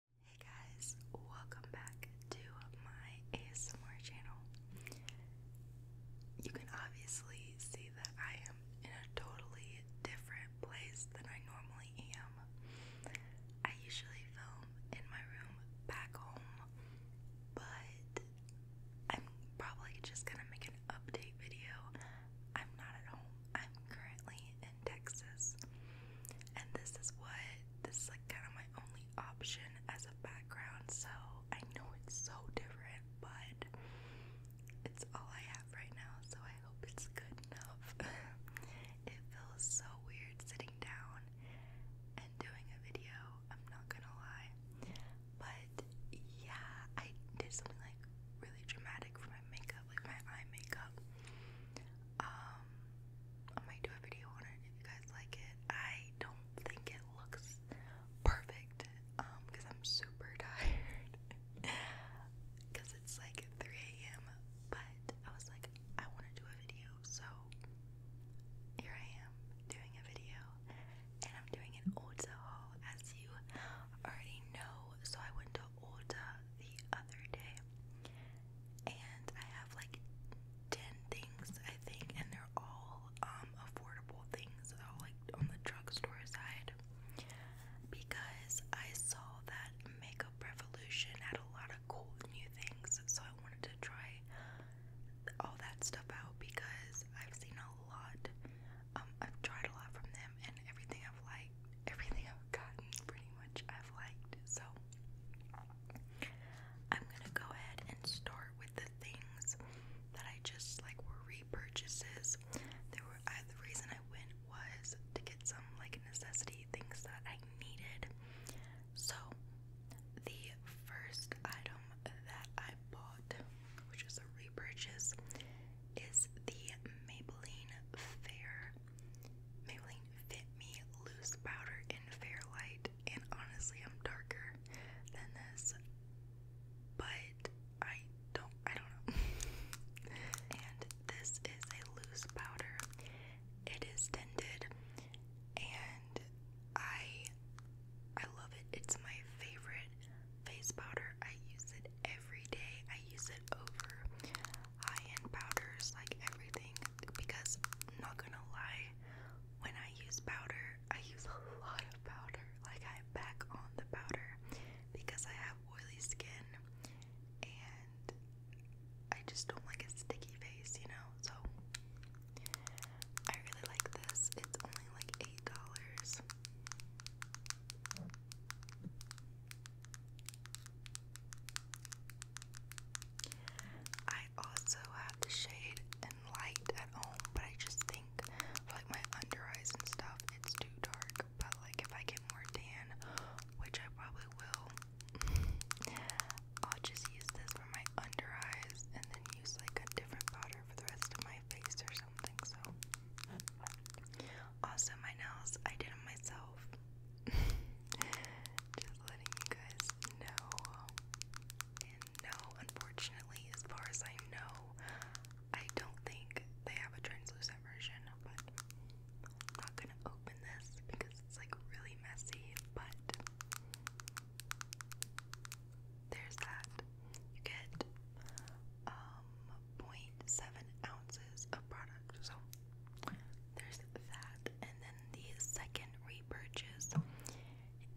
Hey guys, welcome back to my ASMR channel. You can obviously see that I am in a totally different place than I normally am. I usually film in my room back home, but I'm probably just gonna make an update video. I'm not at home, I'm currently in Texas. And this is what this like kind of my only option as a background, so I know it's so different, but it's all I have right now, so I hope it's good enough. it feels so weird sitting down and doing a video, I'm not gonna lie. But yeah, I did something like really dramatic for my makeup like my eye makeup. Um, I might do a video on it if you guys like it. I don't think it looks perfect, um, because I'm super tired. Because it's like 3 a.m., but I was like, I want to do a video, so here I am doing a video, and I'm doing an Ulta haul, as you already know. So I went to Ulta the other day, and I have like 10 things, I think, and they're all um, affordable things, all like on the drugstore side. Because I saw that Makeup Revolution had a lot of cool new things, so I wanted to try all that stuff out because I've seen a lot. Um, I've tried a lot from them, and everything I've liked, everything I've i pretty much I've liked. So I'm gonna go ahead and start with the things that I just like were repurchases. There were I, the reason I went was to get some like necessity things that I needed. So the first item that I bought, which is a repurchase, is the Maybelline Fair Maybelline Fit Me Loose Powder in Fair Light, and honestly, I'm darker than this, but I don't, I don't know. and this is a loose powder. It is tinted, and I, I love it. It's my favorite face powder. I use it every day. I use it over high-end powders, like everything, because I'm not gonna lie, when I use powder, I use a lot of powder. Like I back on the powder because I have oily skin and I just don't like a sticky face, you know? So I really like this. It's only like eight dollars. I also have the shade and light at home, but I just think like my under eyes and stuff, it's too dark. But like if I get more tan, which I probably will, I'll just use this for my under eyes and then use like a different powder for the rest of my face or something. So, also my nails, I did them myself. Just letting you guys know. no, unfortunately, as far as I know, I don't think they have a translucent version, but I'm not gonna open this because it's like really messy, but there's that. You get um 0.7 ounces of product there's that. And then the second repurchase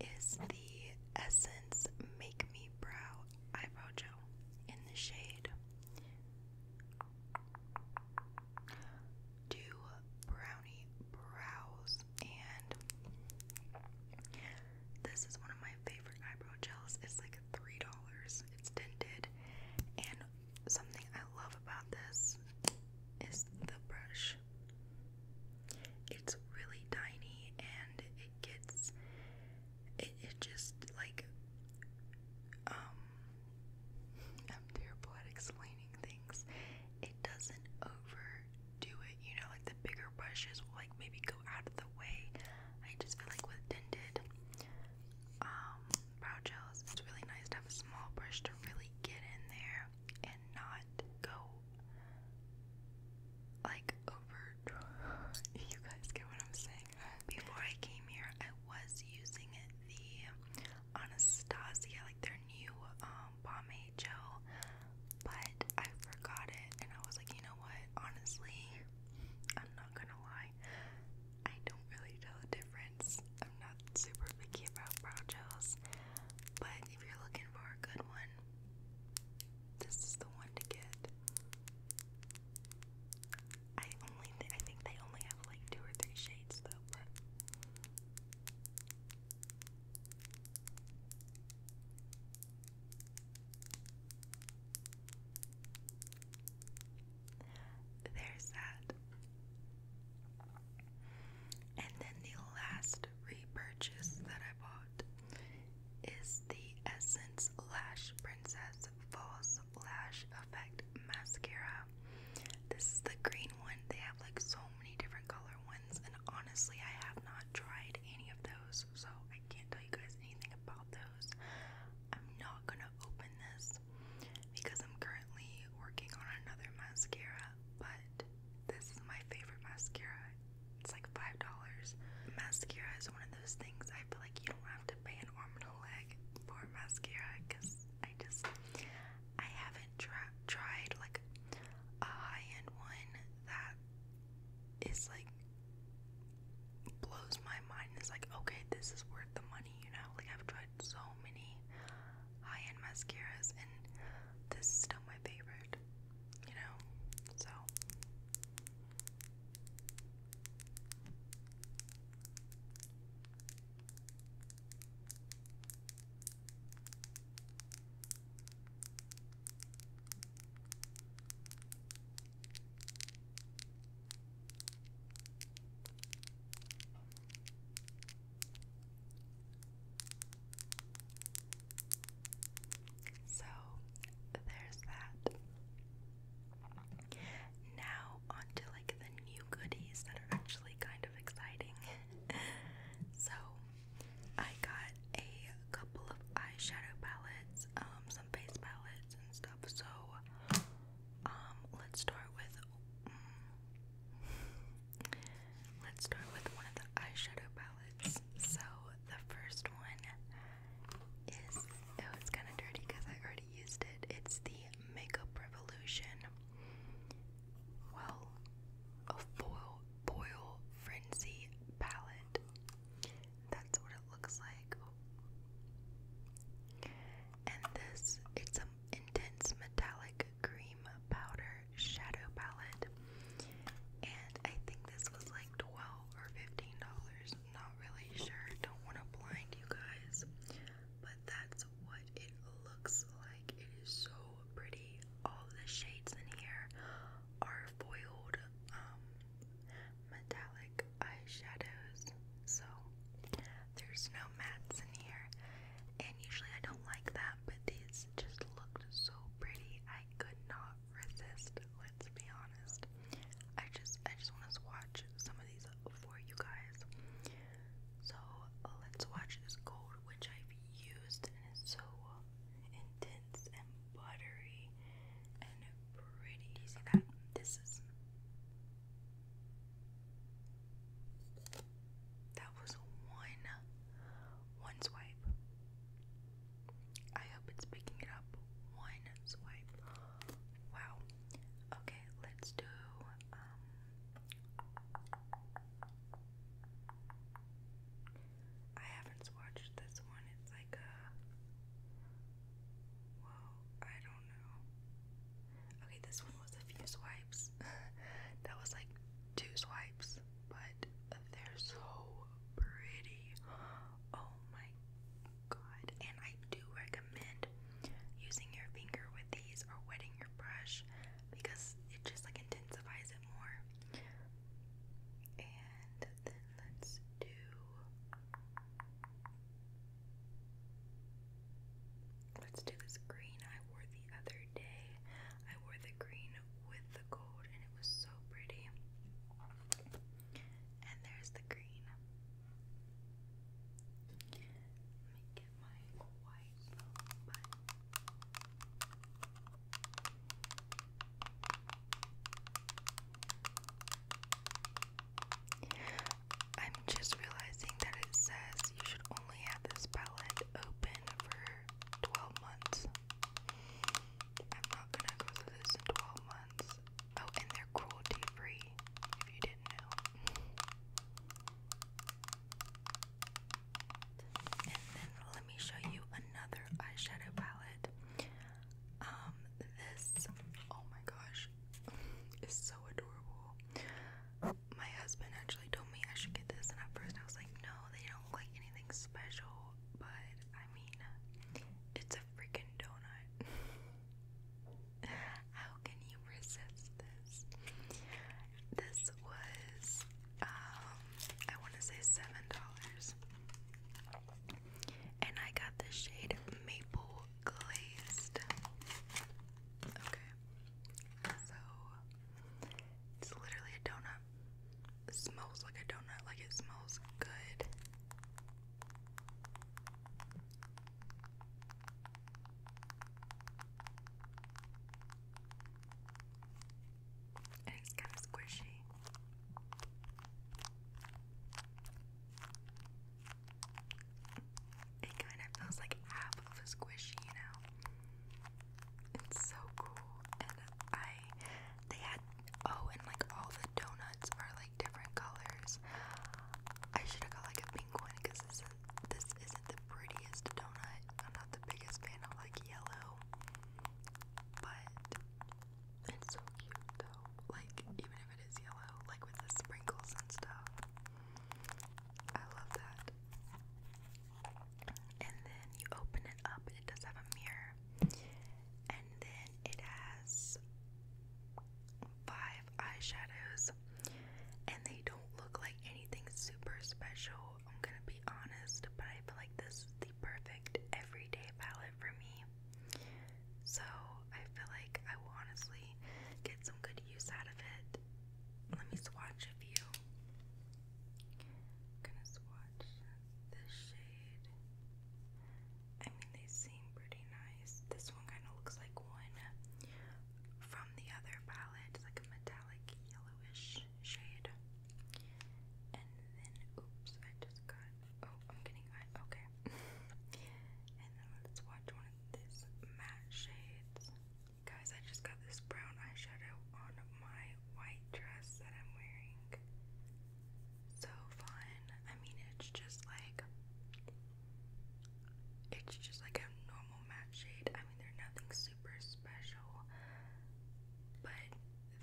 is the Essence Make Me Brow Eyebrow Gel in the shade Do Brownie Brows. And this is one of my favorite eyebrow gels. It's like $3. It's tinted and something I love about this is the brush. It's really tiny and it gets it, it just like um I'm terrible at explaining things. It doesn't overdo it, you know, like the bigger brushes will like maybe go out of the way. I just feel like with tinted um brow gels, it's really nice to have a small brush to really get in there and not go like over. you guys get what I'm saying? Before I came here, I was using the Anastasia, like their new um, pomade gel, but I forgot it, and I was like, you know what? Honestly, I'm not gonna lie. I don't really tell the difference. I'm not super picky about brow gels, but if you're looking for a good one, this is the one to get. I only I think they only have like two or three shades though, there's that. And then the last repurchase that I bought is the Essence Lash Princess False Lash Effect Mascara. This is the green one. They have like so many different color ones, and honestly, I have not tried any of those, so I can't tell you guys anything about those. I'm not gonna open this because I'm currently working on another mascara, but this is my favorite mascara. It's like five dollars. Mascara is one of those things I feel like you don't have to pay an arm and a leg for mascara because I just I haven't tri tried like a high-end one that is like blows my mind. It's like okay, this is worth the money, you know. Like I've tried so many high-end mascaras and this is still my favorite, you know, so. So there's that. Now, on like the new goodies that are actually kind of exciting. so, I got a couple of eyeshadow palettes, um, some face palettes, and stuff. So, um, let's start with Let's start with one of the eyeshadow palettes. So the first one is oh, it's kind of dirty because I already used it. It's the Makeup Revolution. Well, a foil boil frenzy palette. That's what it looks like and this it's an intense metallic cream powder shadow palette and I think this was like 12 or 15 dollars not really sure don't want to blind you guys but that's what it looks like it is so pretty all the shades in here are foiled um, metallic black eyeshadows, so there's no mattes in here. And usually I don't like that, but these just looked so pretty. I could not resist. Let's be honest. I just I just want to swatch some of these for you guys. So let's watch this gold, which I've used, and it's so intense and buttery and pretty. Do you see that? This is that was one one swipe. I hope it's picking it up. One swipe. Wow. Okay, let's do um, I haven't swatched this one. It's like a Whoa, I don't Okay, this one was a few swipes. that was like two swipes, but they're so pretty. Oh my god. And I do recommend using your finger with these or wetting your brush because it just like intensifies it more. And then let's do Let's do this green I wore the other day. I wore the green with the gold and it was so pretty. And there's the green. Let me get my white I'm just realizing that it says you should only have this palette open for 12 months. I'm not gonna go through this 12 months. Oh, and they're cruelty free, if you didn't know. And then let me show you another eyeshadow palette. Um, this, oh my gosh, it's so adorable. My husband actually told me I should get this, and at first I was like, no, they don't like anything special, but I mean, it's a freaking donut. How can you resist this? This was, um, I want to say $7. And I got the shade Maple glazed. Okay. So it's literally a donut. It smells like a donut, like it smells good. And it's kind of squishy. It kind of feels like half of a squishy, you know. It's so cool, and I they had oh, and like all the donuts are like different colors. I should have got like a pink because this is not the prettiest donut. I'm not the biggest fan of like yellow, but it's so cute like even if it is yellow, like with the sprinkles and stuff. I love that. And then you open it up, it does have a mirror, and then it has five eyeshadows, and they don't look like anything super special. I'm gonna be honest, but I feel like this is the perfect everyday palette for me. So I feel like I will honestly get some good use out of it. Let me swatch a few. I'm swatch this shade. I mean, they seem pretty nice. This one kind of looks like one from the other palette, it's like a metallic yellowish shade. And then, oops, I just got. Oh, I'm getting high. Okay. and then let's watch one this matte shades. Guys, I just got this brown eyeshadow on my white dress that I'm wearing. So fun. I mean, it's just like it's just like a normal matte shade. I mean, they're nothing super special, but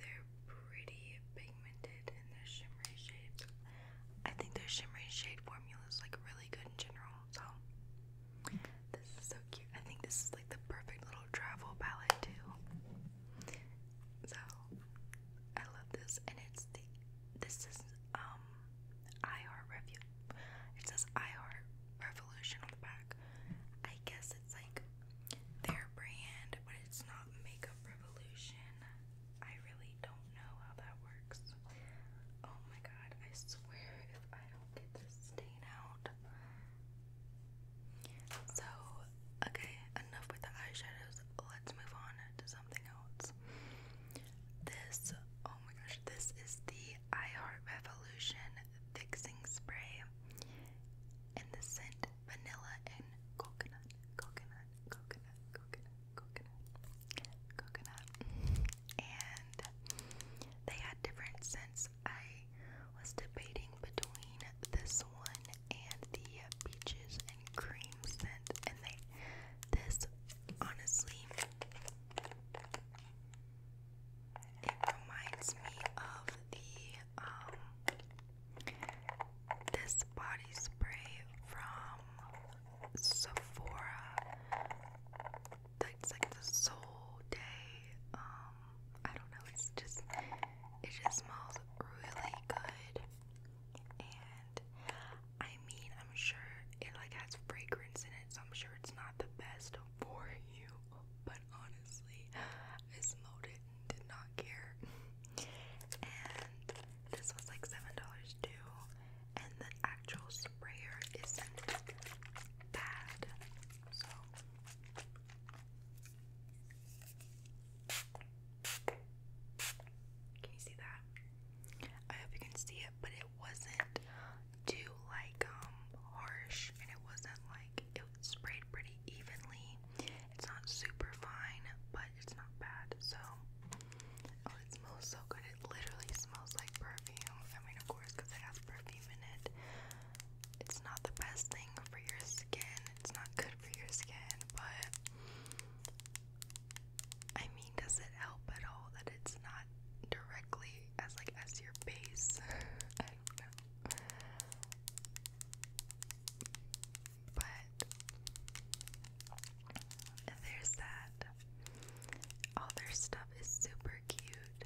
they're pretty pigmented in the shimmery shades. I think their shimmery shade formulas like really good in general. So this is so cute. I think this is like the perfect little travel palette too. So I love this, and it's the this is um iHeart review. It says iHeart Revolution on the back. I guess it's like their brand, but it's not Makeup Revolution. I really don't know how that works. Oh my god, I swear if I don't get this stain out. So, okay, enough with the eyeshadows. Let's move on to something else. This, oh my gosh, this is the iHeart Revolution Fixing Spray. And the scent vanilla and coconut, coconut, coconut, coconut, coconut, coconut, and they had different scents. I was debating between this one and the peaches and cream scent, and they this honestly it reminds me of the um this body spray from Sephora. It's like the Soul Day. Um, I don't know. It's just it just smells really good, and I mean, I'm sure it like has fragrance in it, so I'm sure it's not the best for you. But honestly, I smelled it and did not care. and this was like seven dollars too and the actual sprayer isn't bad. So can you see that? I hope you can see it, but it wasn't too like um harsh and it wasn't like it sprayed pretty evenly. It's not super fine, but it's not bad. So, oh, it smells so good. It literally smells like perfume. I mean, of course, because it has perfume in it. It's not the best thing for your skin. It's not good for your skin, but I mean, does it help at all that it's not directly as like as your base? But there's that. All their stuff is super cute.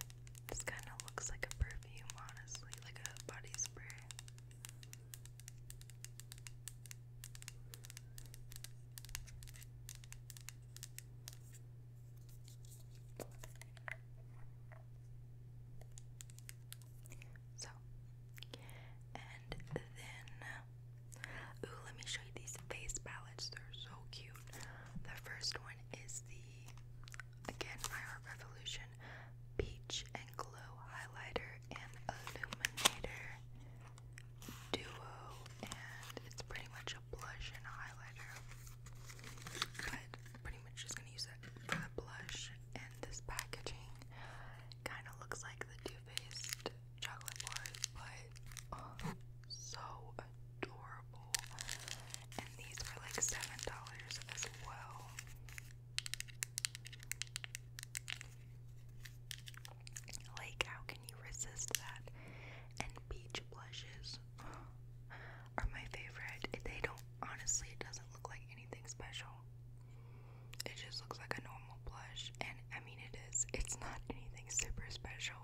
This kind of looks like a perfume, honestly, like a body spray. So, and then, uh, ooh, let me show you these face palettes. They're so cute. The first one is the, again, My Art Revolution Peach and Glow Highlighter and Illuminator Duo. And it's pretty much a blush and highlighter. But pretty much just going to use it for the blush and this packaging. Kind of looks like the Too Faced chocolate bars, but um, so adorable. And these were like seven dollars as well. Like, how can you resist that? And peach blushes are my favorite. They don't honestly, it doesn't look like anything special it just looks like a normal blush, and I mean, it is. It's not anything super special,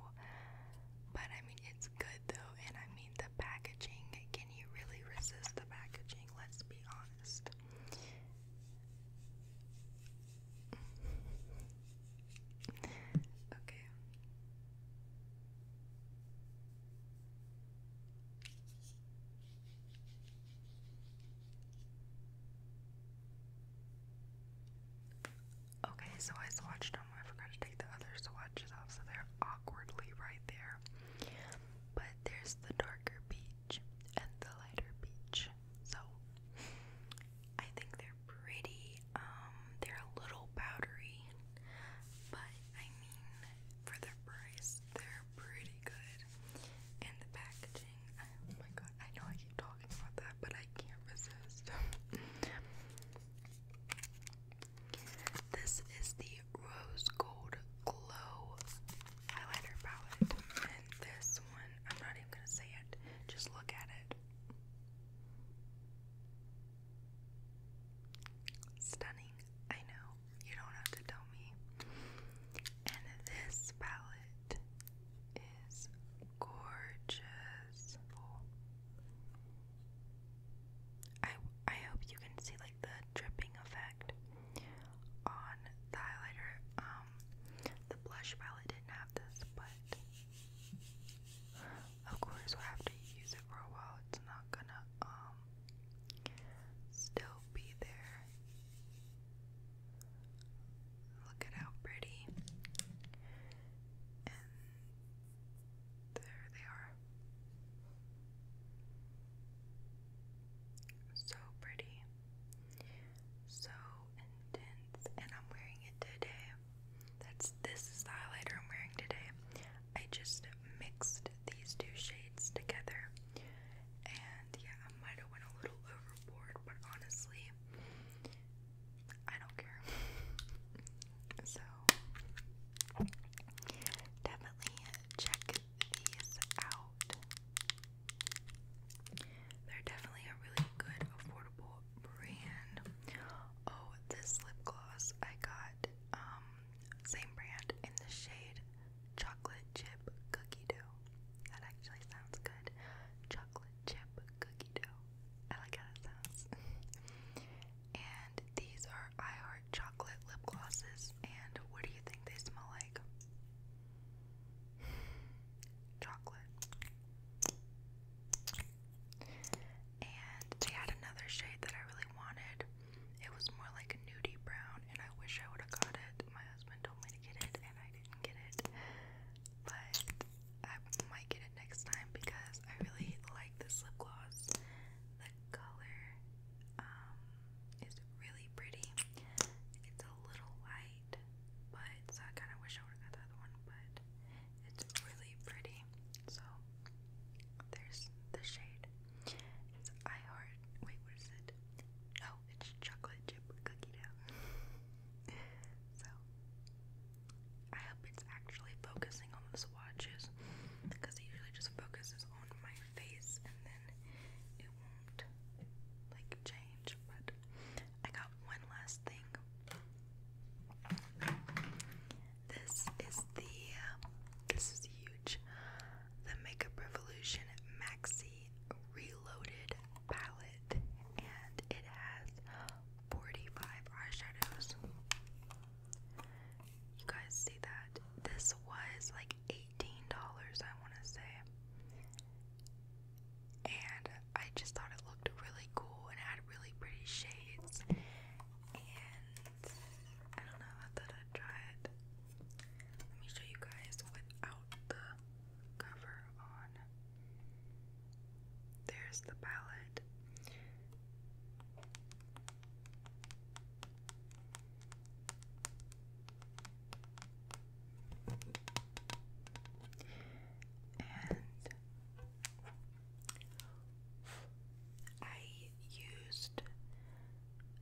but I mean, it's good though. And I mean, the packaging can you really resist the packaging? Let's be honest. okay. Okay, so I swatched them. I forgot to take the other swatches off, so they're awkwardly right there. But there's the darker peach and the lighter peach. So I think they're pretty. Um, they're a little powdery, but I mean, for their price, they're pretty good. And the packaging, oh my god, I know I keep talking about that, but I can't resist. this is the Rose Gold Glow Highlighter Palette. And this one, I'm not even gonna say it, just look at it. Stunning, I know. You don't have to tell me. And this palette is gorgeous. I I hope you can see like the dripping effect on the highlighter. Um, the blush palette didn't have this, but of course we'll use it for a while. It's not gonna um still be there. Look at how pretty. And there they are. So pretty. So intense. And I'm wearing it today. That's this is the highlighter I'm wearing today. I just mixed these two shades together. And yeah, I might have went a little overboard but honestly, I don't care. so, definitely check these out. They're definitely a really good, affordable brand. Oh, this lip gloss I got, um, same brand in the shade Chocolate Chip Cookie Dough. That actually sounds good. Chocolate chip cookie dough. I like how that sounds. and these are I Heart chocolate lip glosses. And what do you think they smell like? Chocolate. And they had another shade that I really wanted. It was more like a nudie brown, and I wish I would have got it. My husband told me to get it, and I did get it, but I might get it next time because I really like this lip gloss. The color um, is really pretty. It's a little light, but I kind of wish I would got the other one, but it's really pretty. So there's the shade. It's I heart. Wait, what is it? it's chocolate chip cookie dough. so I hope it's actually focusing on the swatches because it usually just focuses on my face and then it won't like change. But I got one last thing. This is the uh, this is huge. The Makeup Revolution Maxi Reloaded palette and it has 45 eyeshadows. You guys see that? This was like $18, I want to say. And I just thought it looked really cool and had really pretty shades. And I don't know, I thought I'd try it. Let me show you guys without the cover on. There's the palette. And I used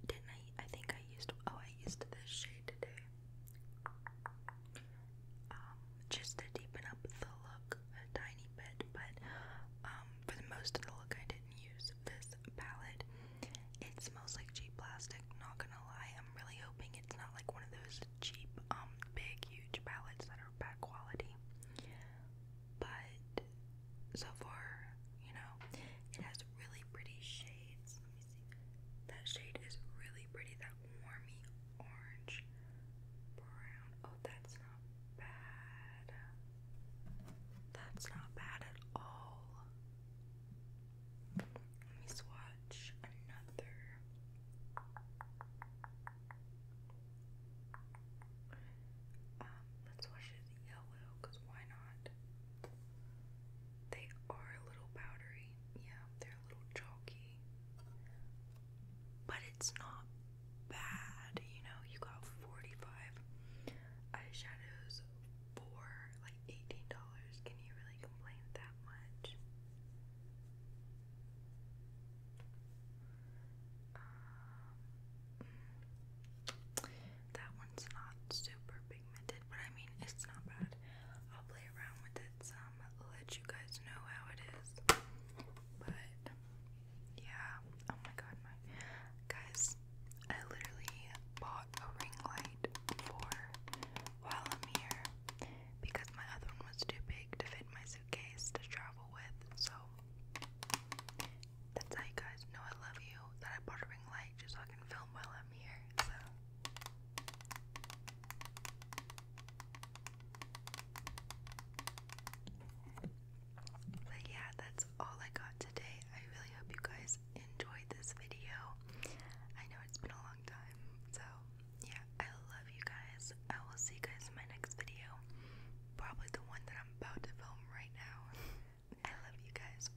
didn't I I think I used oh I used this shade today. Um, just to deepen up the look a tiny bit, but um, for the most of the look, I didn't use this palette. It smells like cheap plastic, not gonna lie. I'm really hoping it's not like one of those cheap, um, big, huge palettes that are bad quality. But so far, you know, it has really pretty shades. That shade is really pretty. That warmy orange brown. Oh, that's not bad. That's not bad at all. Let me swatch another. Um, let's swatch it yellow, cause why not? They are a little powdery. Yeah, they're a little chalky. But it's not bad, you know. You got 45 eyeshadows for like $18. Can you really complain that much? Um, mm, that one's not super big pigmented, but I mean, it's not bad. I'll play around with it some, let you guys know how it is. But yeah, oh my god, my guys, I literally bought a ring light for while I'm here because my other one was too big to fit my suitcase to travel with. So that's how you guys know I love you that I bought a ring light just so I can film while I'm here. But yeah, that's all I got today. I really hope you guys enjoyed this video. I know it's been a long time, so yeah, I love you guys. I will see you guys in my next video. Probably the one that I'm about to film right now. I love you guys.